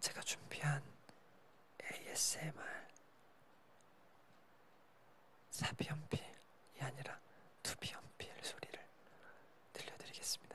제가 준비한 ASMR 사비연필이 아니라 두비연필 소리를 들려드리겠습니다.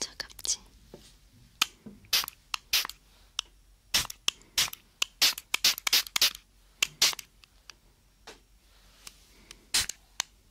차갑지?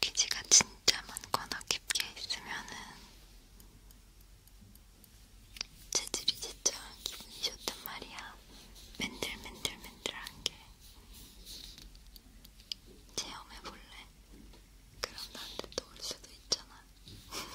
기지가 진짜 많거나 깊게 있으면은 재질이 진짜 기분이 좋단 말이야. 맨들맨들맨들한 게. 체험해볼래? 그럼 나한테 또올 수도 있잖아.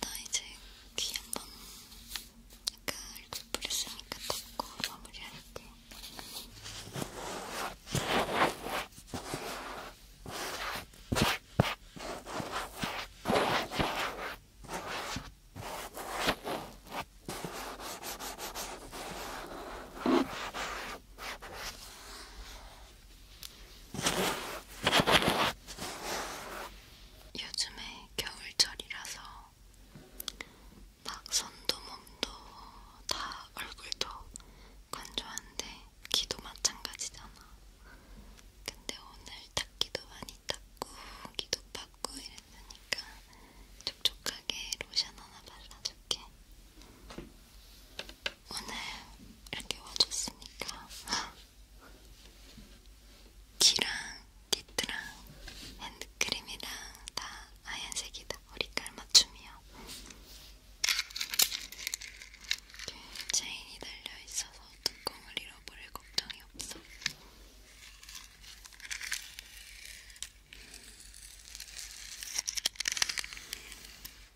나 이제 귀한번 아까 얼굴 뿌렸으니까 덮고 마무리할게. 요즘에 겨울철이라서 막 손도 몸도 다 얼굴도 건조한데 귀도 마찬가지잖아. 근데 오늘 닦기도 많이 닦고 귀도 닦고 이랬으니까 촉촉하게 로션 하나 발라줄게. 오늘 이렇게 와줬으니까 키랑 니트랑 핸드크림이랑 다 하얀색이다. 머리깔 맞춤이요. 이렇게 체인이 달려있어서 뚜껑을 잃어버릴 걱정이 없어.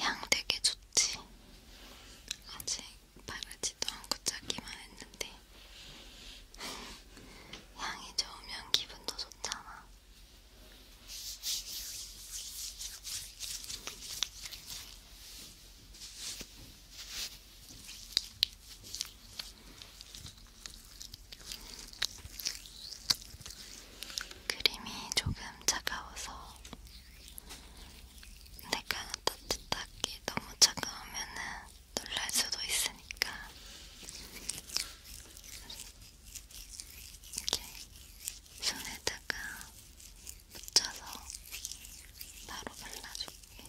향 되게 좋지. 아직 바르지도 않고 짜기만 했는데 향이 좋으면 기분도 좋잖아. 크림이 조금 차가워서 근데 따뜻하게 너무 차가우면은 놀랄 수도 있으니까 이렇게 손에다가 묻혀서 바로 발라줄게.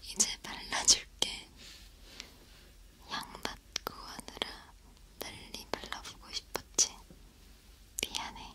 이제 발라줄게. 양밭 구하느라 난리 발라보고 싶었지. 미안해.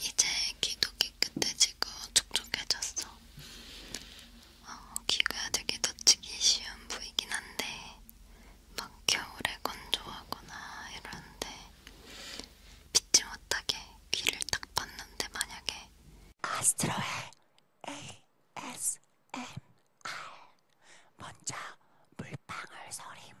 이제 귀도 깨끗해지고 촉촉해졌어. 어, 귀가 되게 다치기 쉬운 부위긴 한데 막 겨울에 건조하거나 이런데 빗지 못하게 귀를 딱 봤는데 만약에 카스트로의 ASMR 먼저 물방울 소리입니다.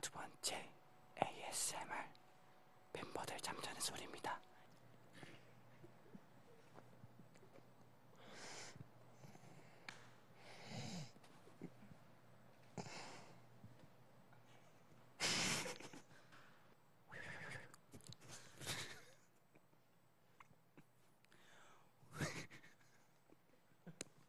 두 번째 ASMR 멤버들 잠자는 소리입니다.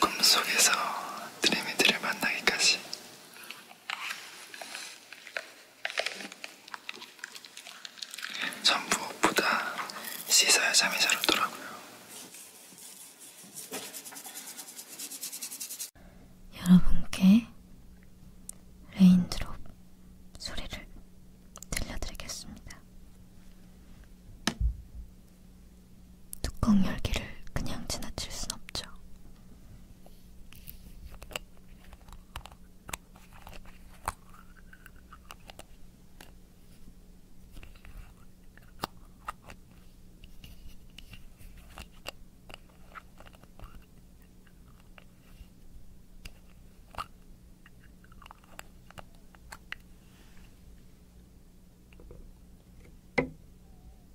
꿈속에서 드림이들을 만나기까지 전 무엇보다 씻어야 잠이 잘 오더라고요. 여러분께 레인드롭 소리를 들려드리겠습니다. 뚜껑 열기를 그냥 지나칠 순 없죠.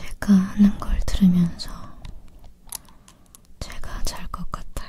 제가 하는 걸 들으면서 제가 잘 것 같아요.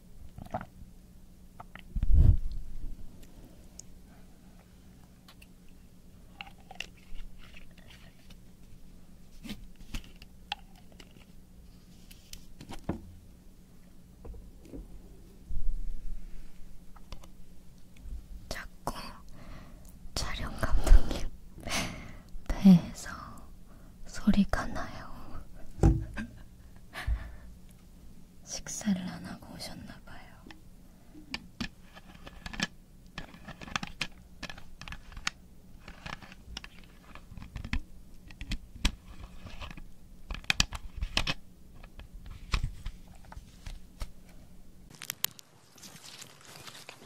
자꾸 촬영 감독님 배에서 소리가 나요. 식사를 안 하고 오셨나봐요. 이렇게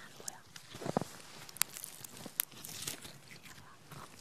안 보여.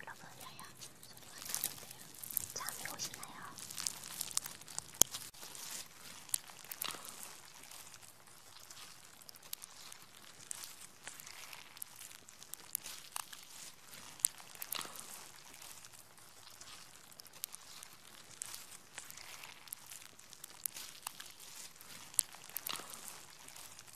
여러분 야야 소리가 나는데요. 잠이 오시나요?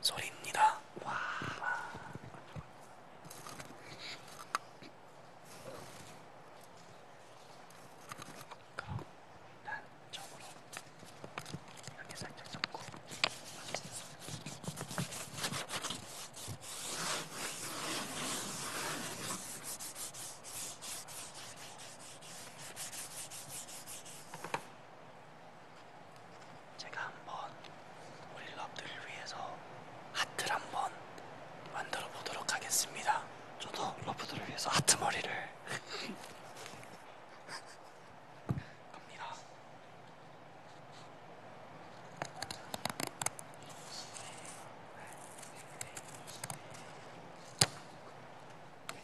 소리입니다. 와. 그럼 난 저으로 이렇게 살짝 잡고 제가 한번 우리 러브들을 위해서 하트를 한번 만들어 보도록 하겠습니다. 저도 러브들을 위해서 하트 머리를 갑니다. 네.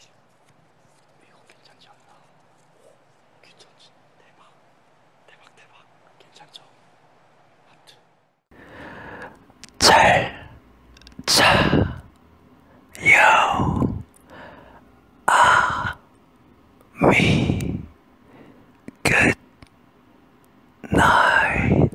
이거 괜찮지 않나? 오, 귀찮지? 대박, 대박, 대박. 괜찮죠? 하트. 잘, 자, 요, 아, 미, 끝, 나이.